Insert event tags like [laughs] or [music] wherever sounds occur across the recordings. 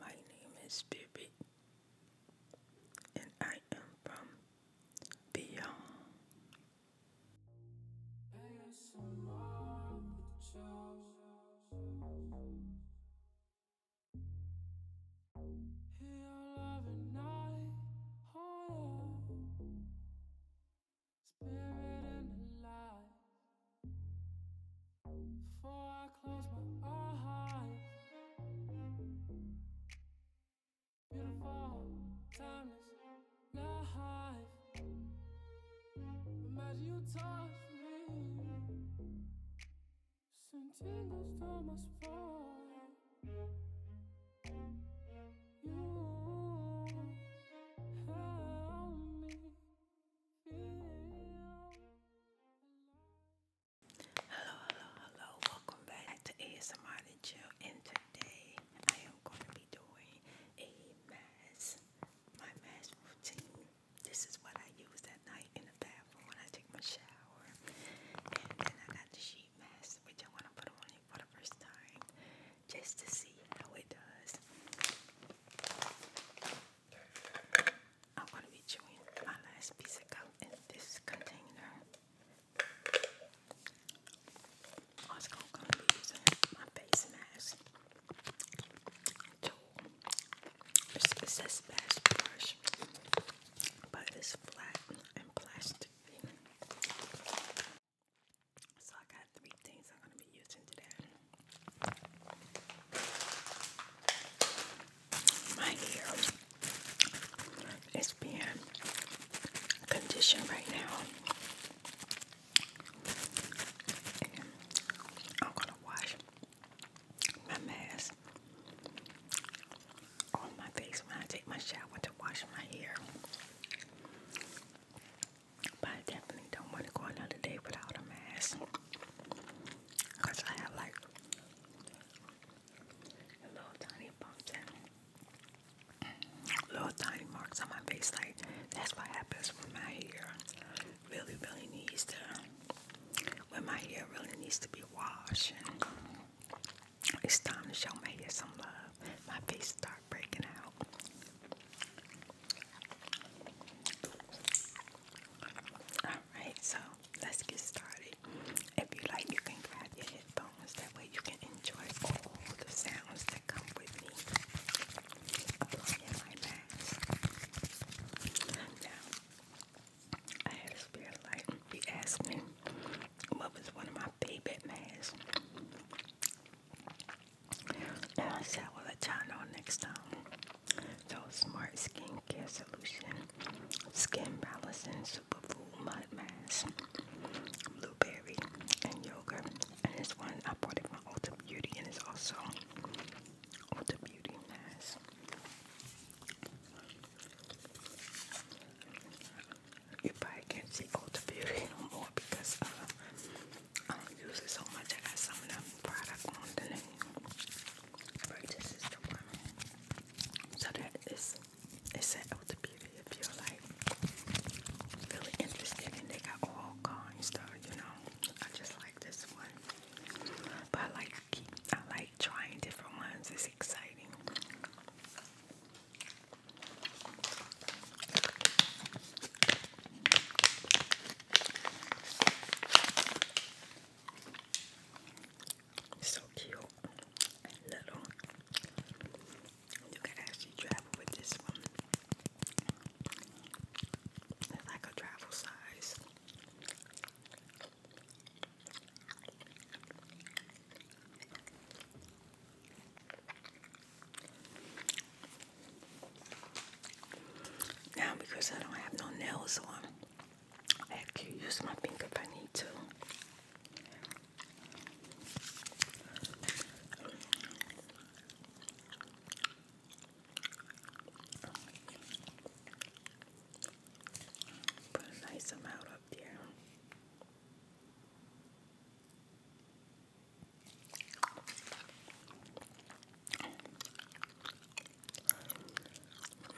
My name is Bibi, and I am from Beyond. Spirit and alive. Before I close my eyes. Beautiful, timeless life. Imagine you touch me. Send tingles down my Hello, hello, hello. Welcome back to ASMR and And today I am going to be doing a mask, my mask routine. This is what I use at night in the bathroom when I take my shower. And then I got the sheet mask, which I want to put on for the first time just to see how it does. I'm going to be chewing my last piece of gum in this container. Also, going to be using my face mask to it says best brush, but it's flat and plastic. So I got three things I'm going to be using today. My hair is being conditioned right now. And I'm going to wash my mask on my face when I take my shower to wash my hair. But I definitely don't want to go another day without a mask. Because I have like little tiny bumps and little tiny marks on my face. Like, that's what happens when my hair really, really needs to, when my hair really needs to be washed. It's time to show my some love. My face start breaking out. Alright, so let's get started. If you like, you can grab your headphones. That way you can enjoy all the sounds that come with me. Applying my mask. Now, I had a spirit light. He asked what was one of my favorite masks? I said, well, let y'all know next time. So, Smart Skincare Solution, Skin Balancing Superfood Mud Mask, Blueberry, and Yogurt. And this one, I bought it from Ulta Beauty, and it's also Ulta Beauty Mask. You probably can't see Ulta Beauty [laughs] no more because uh, I don't use it so much. I got some of them product on the name. But this is the one. So that is it's at Ulta Beauty if you're like really interested and they got all kinds stuff, you know. I just like this one. But like I like trying different ones. It's exciting. So cute little. You can actually travel with this one. It's like a travel size. Now, because I don't have no nails on, I can use my finger if I need to. Put a nice amount up there.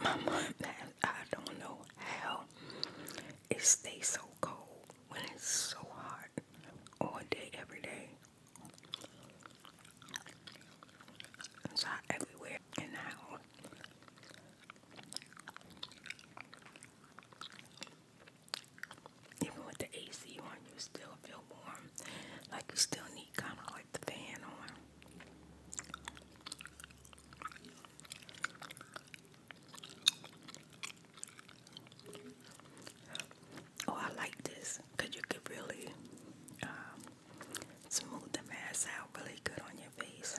My mom, I don't know how it stays so cold when it's so hot all day, every day. It's hot everywhere in the even with the AC on, you still feel warm. Like you still need kind of like the fan on. Oh, I like this because you could really um, smooth the mask out really good on your face.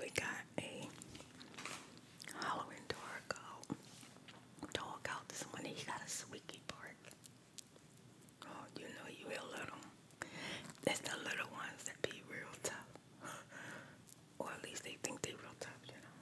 We got a Halloween door go dog out this morning. He got a squeaky bark. Oh, you know you will let him. That's the little ones that be real tough. [laughs] or at least they think they real tough, you know.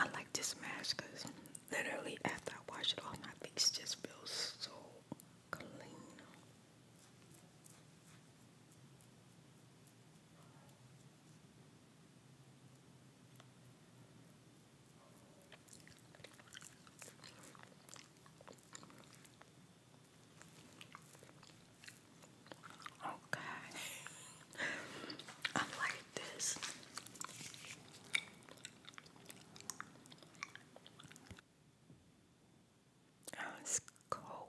I like this mask because literally after I wash it off, my face just feels so clean. Okay. [laughs] I like this. Oh, it's cold.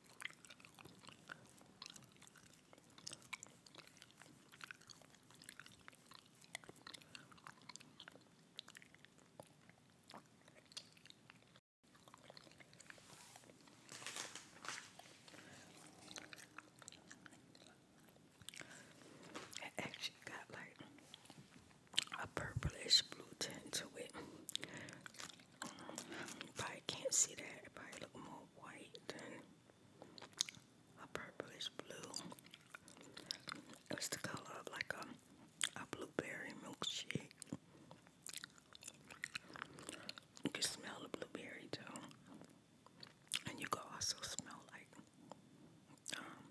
It actually got like a purplish blue tint to it. I can't see that. It probably look more white than a purplish blue. it's the color of like a, a blueberry milkshake. You can smell the blueberry too. And you can also smell like um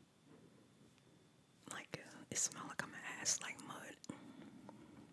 like uh, it smells like I'm ass like mud.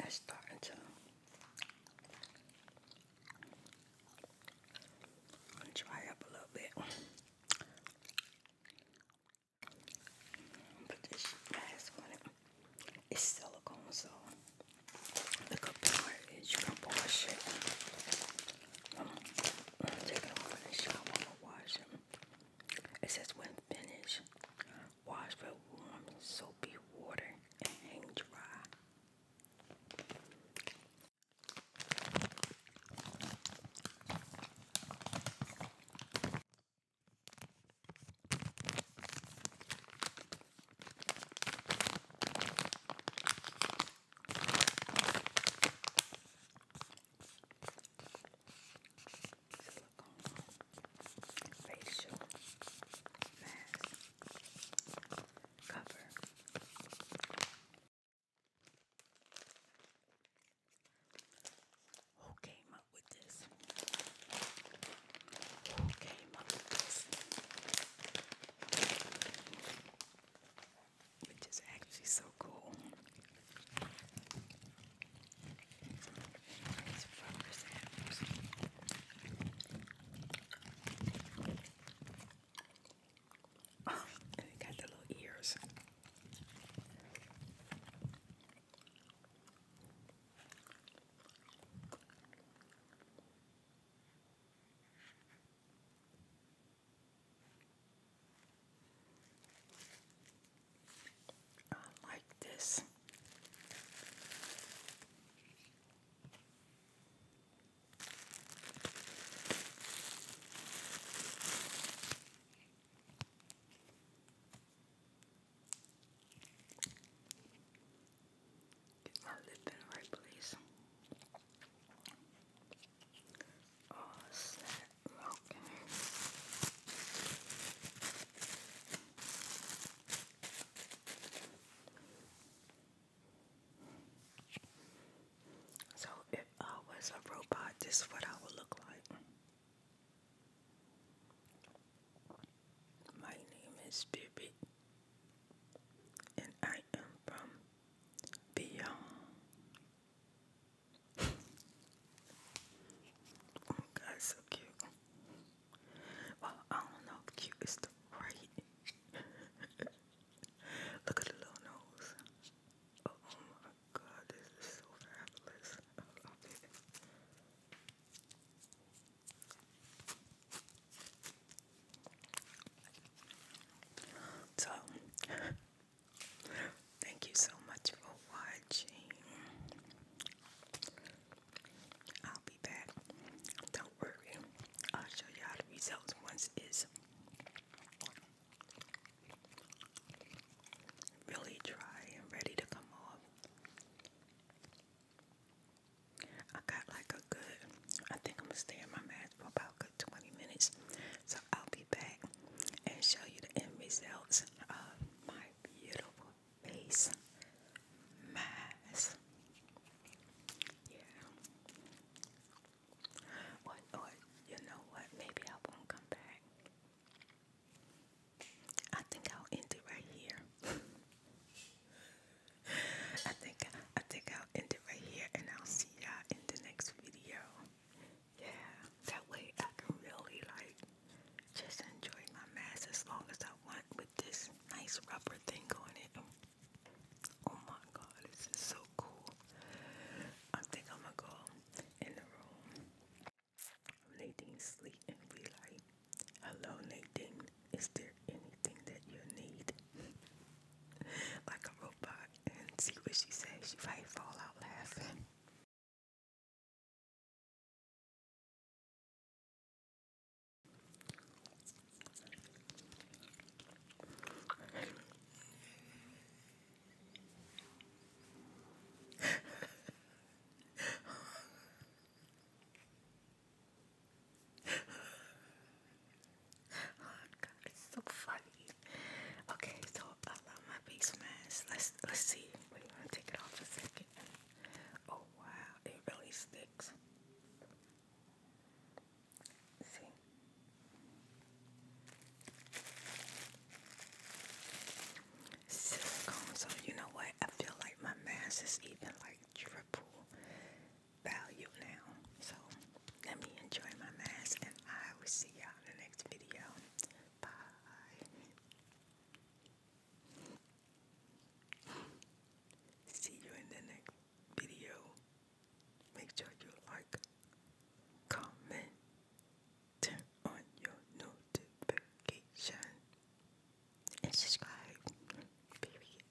Okay, it's starting to I'll dry up a little bit. Put this mask on it. It's silicone, so the computer is you can it. i and wash them. It says when finished, wash with warm soapy water and hang dry. Silicone facial mask. Who came up with this? Who came up with this? Which is actually so cool. These flowers apples got the little ears. I like this. Get my lip in the right place. Oh, snap. Okay. So if I was a robot, this is what I would look like. My name is Bibi, and I am from beyond. [laughs] Oh, God, so cute. Well, I don't know if cute right. [laughs] Look at the little nose. Oh, oh my god, this is so fabulous. I love it. So, thank you so much for watching. I'll be back. Don't worry. I'll show y'all the results once it's really dry and ready to come off. I got like a good, I think I'm gonna stay in my mask for about good 20 minutes. So I'll be back and show you the end results of my beautiful face mask. Yeah. What or you know what? Maybe I won't come back. I think I'll end it right here. [laughs] I think I think I'll end it right here and I'll see you in the next video. Yeah, that way I can really like just enjoy my mass as long as I want with this nice rubber thing on it. Oh my god, this is so cool. I think I'm gonna go in the room. Nadine sleep and be hello Nadine, is there anything that you need? [laughs] like a robot and see what she says. She might fall out laughing oh god, it's so funny. Okay, so I love my face mask. Let's let's see. Wait, I'm to take it off for a second. Oh wow, it really sticks. See? Silicone, so you know what? I feel like my mask is even like triple value now. So let me enjoy my mask and I will see y'all in the next video. Bye. See you in the next video. Make sure you like, comment, turn on your notification, and subscribe. Period.